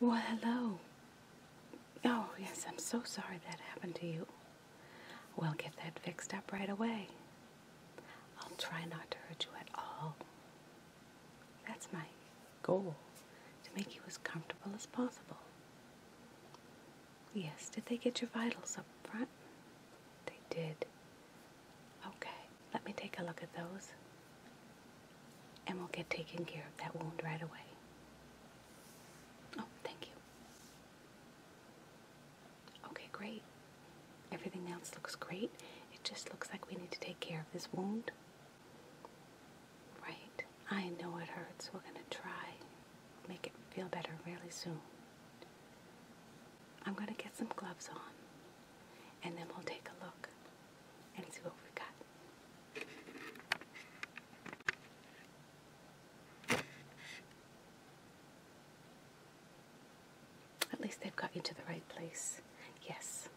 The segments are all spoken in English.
Well, hello. Oh, yes, I'm so sorry that happened to you. We'll get that fixed up right away. I'll try not to hurt you at all. That's my goal to make you as comfortable as possible. Yes, did they get your vitals up front? They did. Okay, let me take a look at those and we'll get taken care of that wound right away. Oh, thank you. Okay, great. Everything else looks great. It just looks like we need to take care of this wound Right. I know it hurts. We're going to try make it feel better really soon. I'm going to get some gloves on and then we'll take a look and see what we got. At least they've got you to the right place. Yes.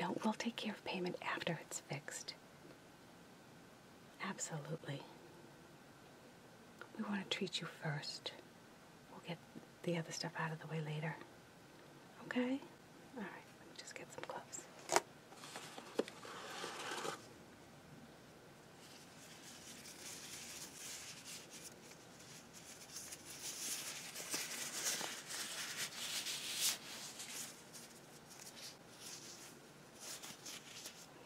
No, we'll take care of payment after it's fixed. Absolutely. We want to treat you first. We'll get the other stuff out of the way later. Okay? All right, let me just get some gloves.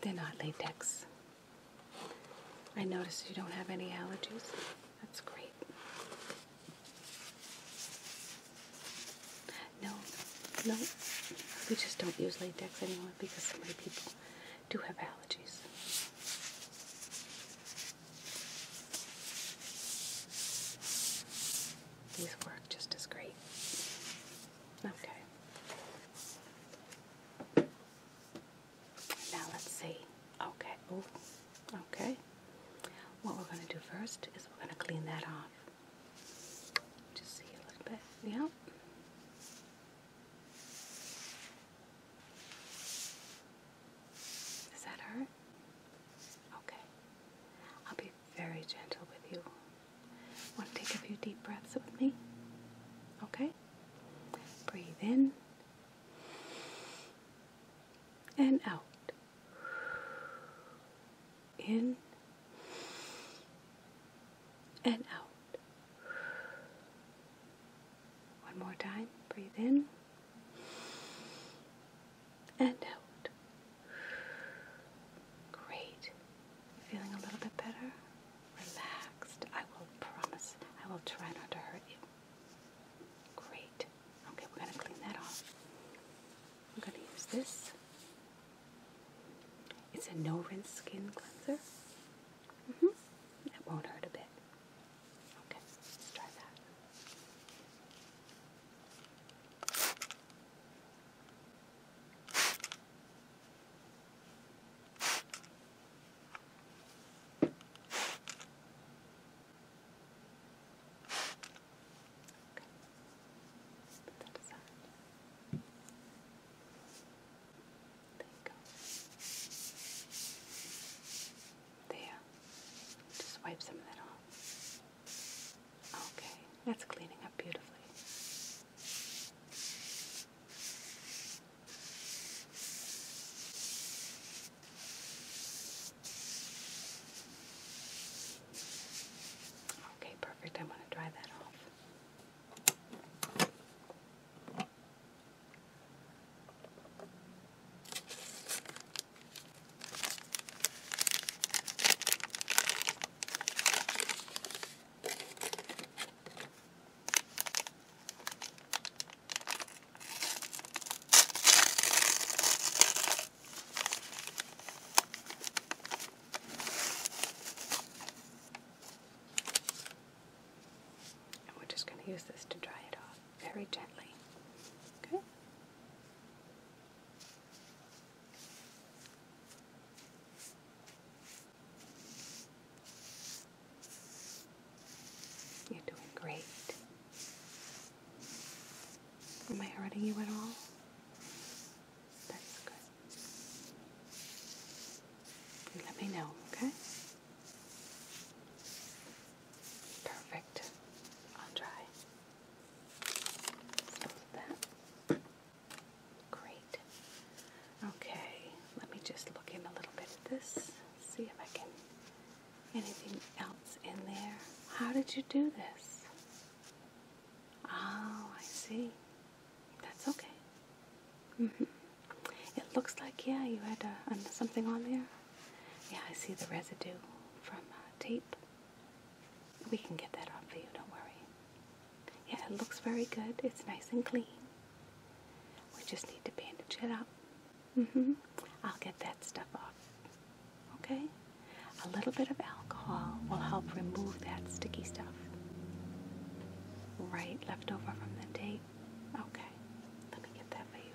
They're not latex. I noticed you don't have any allergies. That's great. No, no, we just don't use latex anymore because so many people do have allergies. These work just as great. Okay. Now let's see. Okay. Oh, okay. What we're going to do first is we're going to clean that off. Just see a little bit. Yep. Does that hurt? Okay. I'll be very gentle with you. Want to take a few deep breaths with me? Okay? Breathe in and out. In and out. One more time. Breathe in and out. Great. Feeling a little bit better? Relaxed. I will promise I will try not to hurt you. Great. Okay, we're going to clean that off. We're going to use this. It's a no rinse skin cleanser. Mm hmm It won't hurt a bit. Okay, try that. Okay. Put that aside. There you go. There. Just wipe some of that off. Okay, that's cleaning up beautifully. Okay, perfect. I want to dry that off we're just going to use this to dry it off very gently. Okay? You're doing great. Am I hurting you at all? That's good. let me know, okay? Perfect. I'll try. that. Great. Okay, let me just look in a little bit at this. See if I can anything else in there. How did you do this? Oh, I see. That's okay. Mm -hmm. It looks like, yeah, you had uh, something on there. Yeah, I see the residue from uh, tape. We can get that off for you, don't worry. Yeah, it looks very good. It's nice and clean. We just need to bandage it up. Mm-hmm. I'll get that stuff off. Okay? A little bit of alcohol will help remove that sticky stuff. Right, leftover from the tape. Okay, let me get that for you.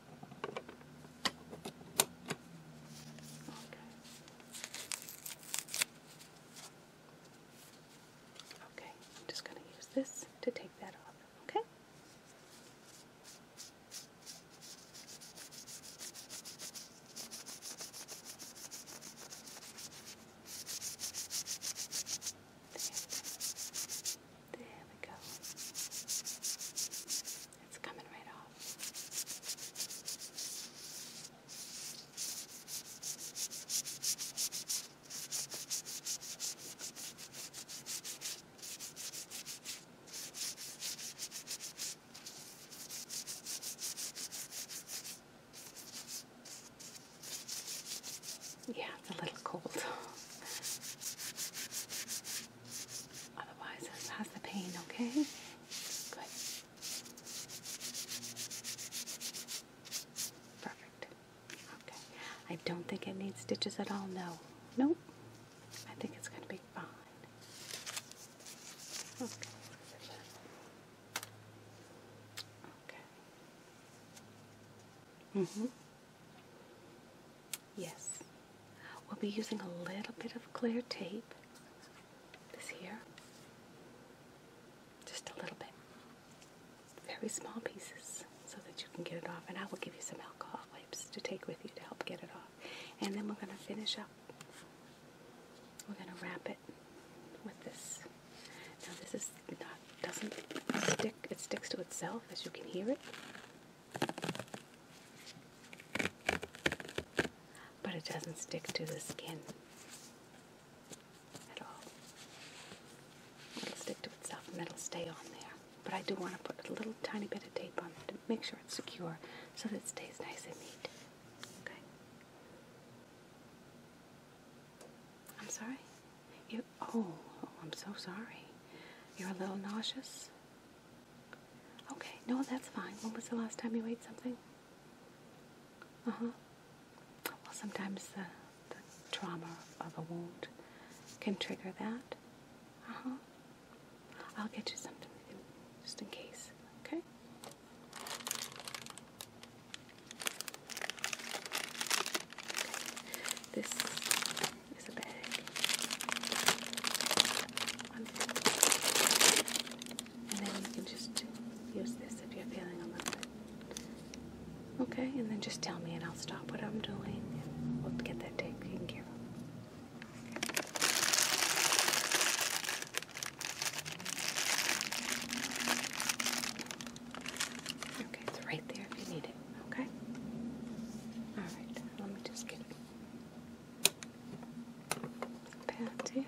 Okay, I'm just going to use this to take that off, okay? There we go. It's coming right off. Yeah, it's a little cold. Otherwise, that's half the pain, okay? Good. Perfect. Okay. I don't think it needs stitches at all, no. Nope. I think it's going to be fine. Okay. Okay. Mm-hmm. Yes, we'll be using a little bit of clear tape. This here. Just a little bit. Very small pieces so that you can get it off. And I will give you some alcohol wipes to take with you to help get it off. And then we're going to finish up. We're going to wrap it with this. Now this is not, doesn't stick, it sticks to itself as you can hear it. But it doesn't stick to the skin at all. It'll stick to itself and it'll stay on there. But I do want to put a little tiny bit of tape on it to make sure it's secure so that it stays nice and neat. Okay? I'm sorry? oh, I'm so sorry. You're a little nauseous? Okay, no, that's fine. When was the last time you ate something? Uh huh. Well, sometimes the, the trauma of a wound can trigger that. Uh huh. I'll get you something just in case, okay? This there's a bag. And then you can just use this if you're feeling a little bit. Okay, and then just tell me and I'll stop what I'm doing and we'll get that taken care of. Okay, it's right there if you need it. Okay? Alright, let me just get Patty. Okay.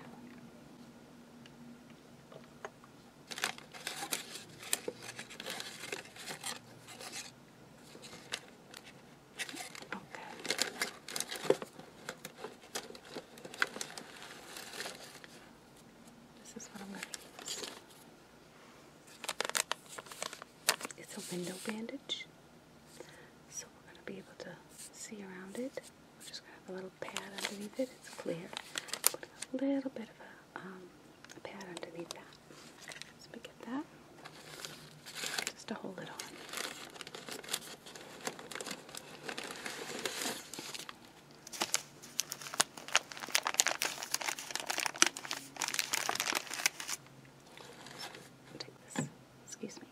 This is what I'm going to it's a window bandage, so we're going to be able to see around it. We're just going to have a little pad underneath it. It's clear. Put a little bit of a, um, pad underneath that. So we get that. Just to hold it on. I'll take this. Excuse me.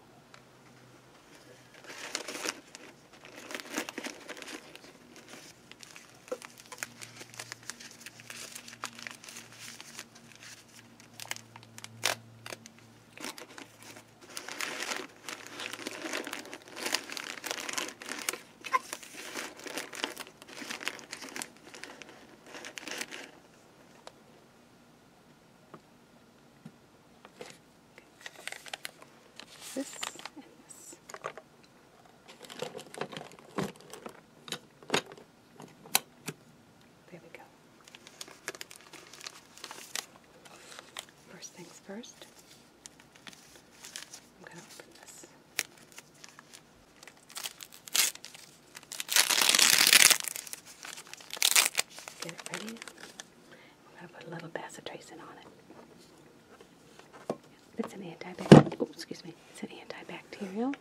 This and this. There we go. First things first, I'm going to open this. Get it ready. I'm going to put a little bacitracin on it. It's an antibacterial. Oh, excuse me. It's an antibacterial.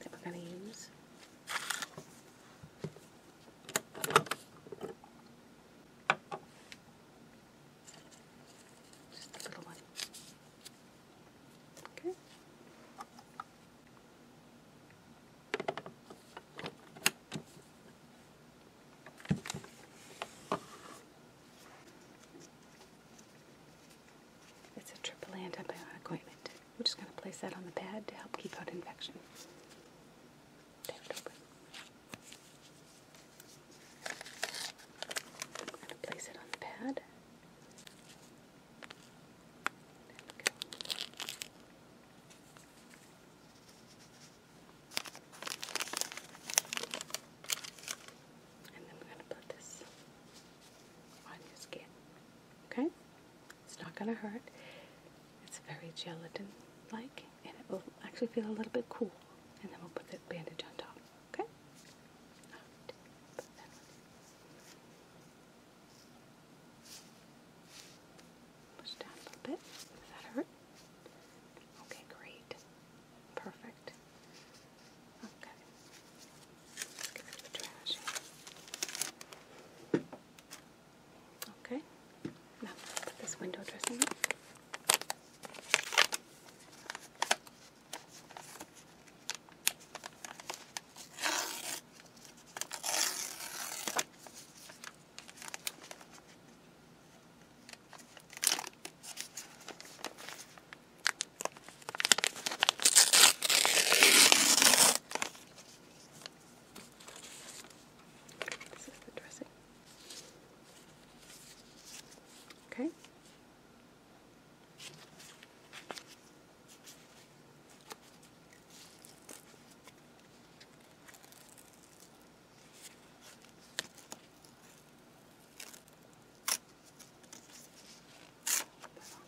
That we're going to use. It's a triple antibiotic ointment. We're just going to place that on the pad to help keep out infection. Tear it open place it on the pad. And then we're going to put this on your skin. Okay? It's not going to hurt. It's very gelatin-like, and it will actually feel a little bit cool. And then we'll put the bandage on top. Okay. Push down a little bit. Does that hurt? Okay, great. Perfect. Okay. Okay, now put this window dressing up. This is the dressing. Okay.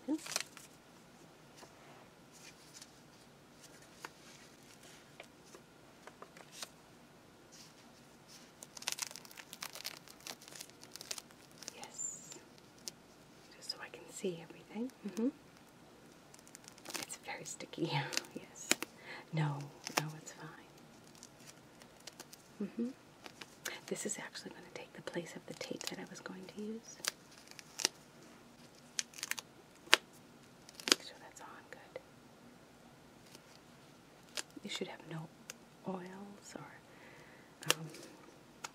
Put on Yes. Just so I can see everything. hmm. It's very sticky. yes. No, no, it's fine. hmm. This is actually going to take the place of the tape that I was going to use. Make sure that's on good. You should have no oils or um,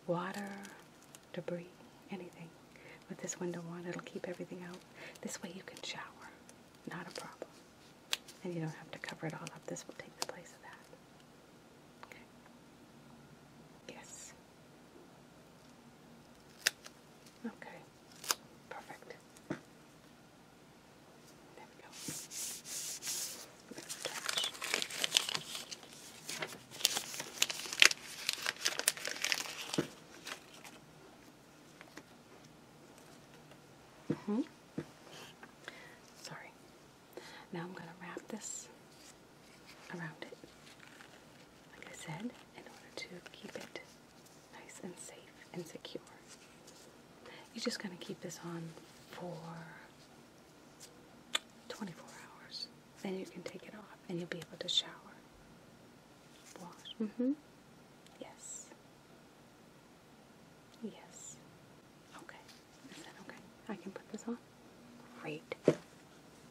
water, debris, anything. With this window on, it'll keep everything out. This way you can shower, not a problem. And you don't have to cover it all up. This will take the place of that. Okay. Yes. Okay perfect. There we go. Mm -hmm. Sorry. Now I'm going to wrap this around it, like I said, in order to keep it nice and safe and secure. You're just going to keep this on for 24 hours. Then you can take it off and you'll be able to shower. Wash. Mm hmm. Yes. Yes. Okay. Is that okay? I can put this on? Great.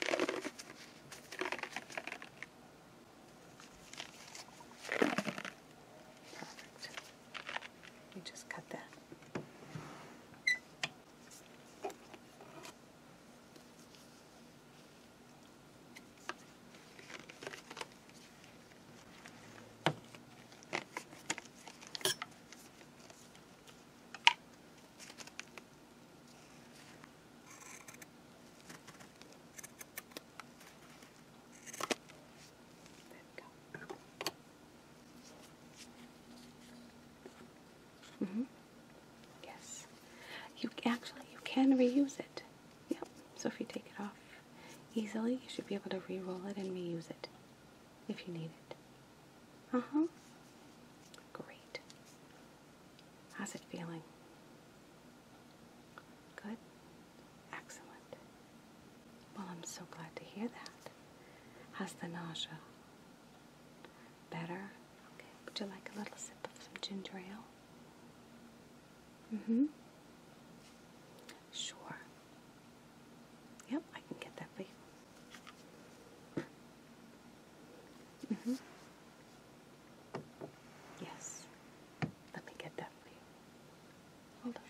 Perfect. You just cut that. Mm -hmm. Yes. You actually you can reuse it. Yep. So if you take it off easily, you should be able to re-roll it and reuse it if you need it. Uh huh. Great. How's it feeling? Good? Excellent. Well, I'm so glad to hear that. How's the nausea? Better? Okay. Would you like a little sip of some ginger ale? Mm hmm. Sure. Yep, I can get that for you. -hmm. Yes. Let me get that for you. Hold on.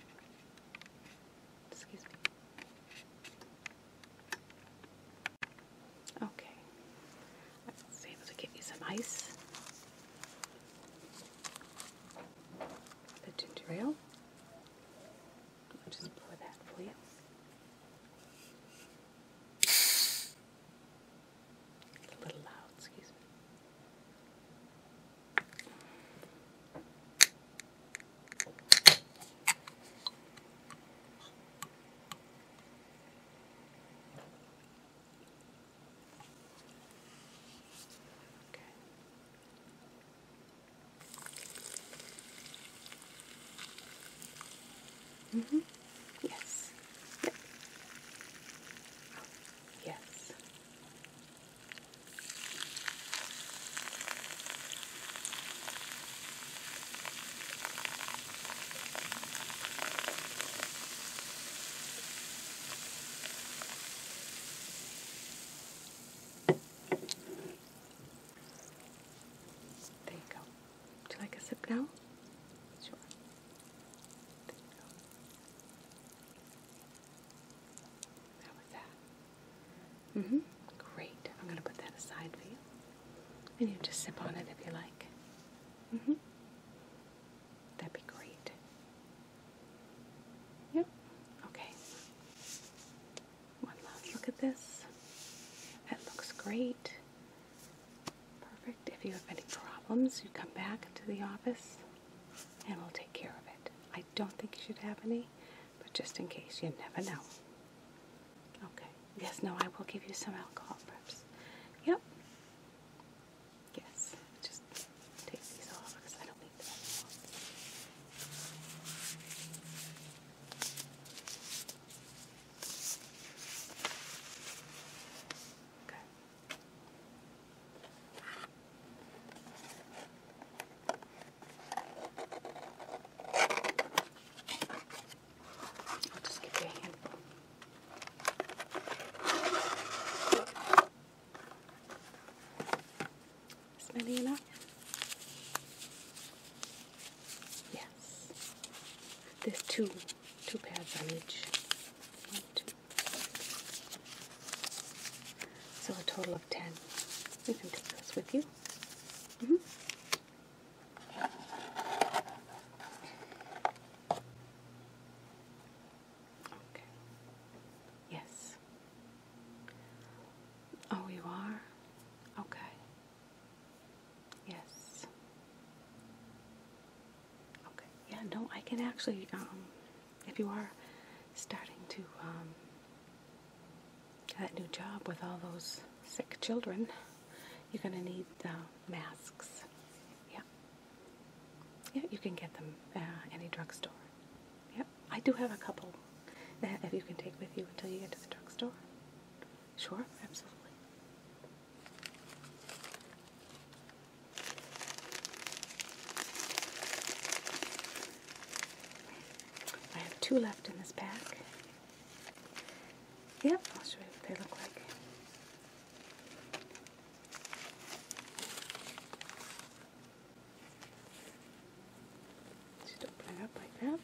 Excuse me. Okay. I was able to get you some ice. The ginger ale. I'll just pour that for you. It's a little loud, excuse me. Okay. Mm hmm Yes. Yep. Yes. There you go. Would you like a sip now? Sure. There you go. How was that? hmm Great. I'm going to put that aside for you. And you just sip on it if you like. hmm That'd be great. Yep. Okay. One last look at this. That looks great. Perfect. If you have any problems, you come back to the office and we'll take care of it. I don't think you should have any, but just in case, you never know. Okay. Yes, no, I will give you some alcohol preps. Yep. Yes, just take these off because I don't need them Okay. I'll just give you a handful. Is that enough? Yes. There's two, two pairs on each. So a total of ten. We can take those with you. Mm-hmm. Okay. Yes. Oh, you are? Okay. Yes. Okay. Yeah, no, I can actually, um, if you are starting to, um, that new job with all those sick children, you're going to need uh, masks. Yeah. Yeah, you can get them uh, any drugstore. Yep, I do have a couple that you can take with you until you get to the drugstore. Sure, absolutely. I have two left in this pack. Yep, I'll show you what they look like. Just open up like that.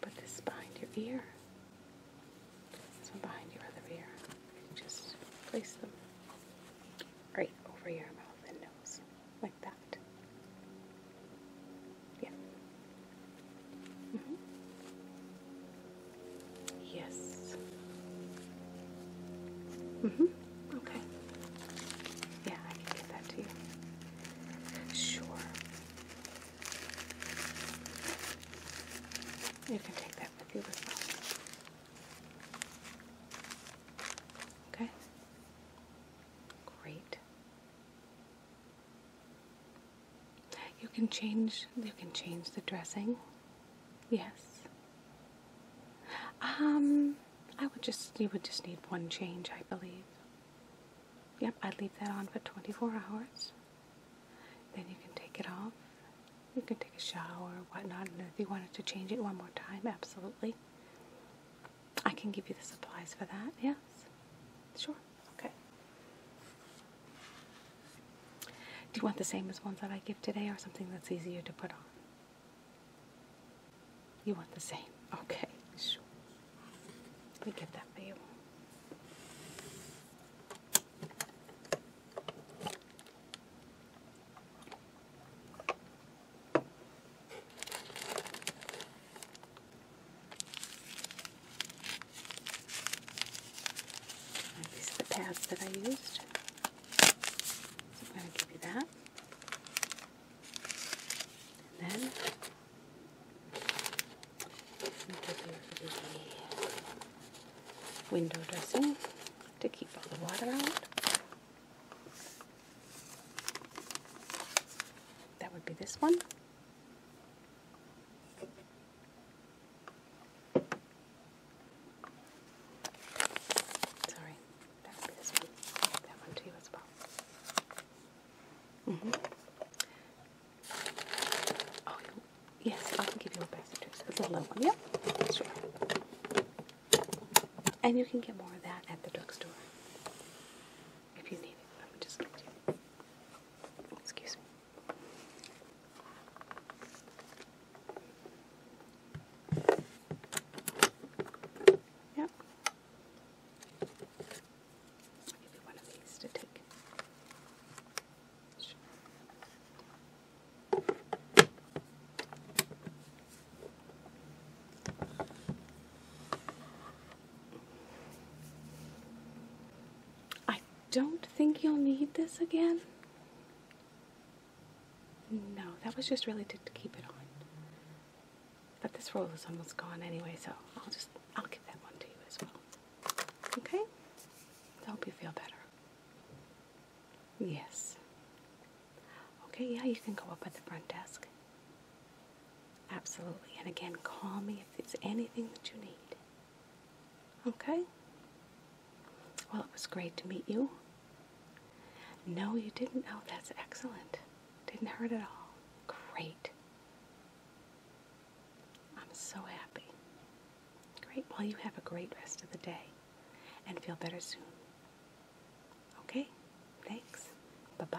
put this behind your ear. This behind your other ear. just place them right over your mouth and nose, like that. Yeah. Mm-hmm. Yes. hmm Okay. Yeah, I can get that to you. Sure. You can take that with you as well. Okay. Great. You can change you can change the dressing. Yes. Um I would just you would just need one change, I believe. Yep, I'd leave that on for 24 hours. Then you can take it off. You can take a shower or whatnot. And if you wanted to change it one more time, absolutely. I can give you the supplies for that, yes? Sure, okay. Do you want the same as ones that I give today or something that's easier to put on? You want the same. Okay, sure. Let me get that for you. These are the pads that I used. So I'm going to give you that. And then I'm going to give you the window dressing to keep all the water out. That would be this one. Sorry, this one. that one to mm-hmm. oh, you as -hmm. Oh, yes, I can give you a passenger. It's a little one. Yep, sure. And you can get more of that at the drugstore if you need it. I would just give you. Excuse me. Yep. i you one these to take. Sure. I don't think you'll need this again? No, that was just really to, keep it on. But this roll is almost gone anyway, so I'll just, I'll give that one to you as well. Okay? I hope you feel better. Yes. Okay, yeah, you can go up at the front desk. Absolutely. And again, call me if it's anything that you need. Okay? Well, it was great to meet you. No, you didn't. Oh, that's excellent. Didn't hurt at all. Great. I'm so happy. Great. Well, you have a great rest of the day and feel better soon. Okay? Thanks. Bye-bye.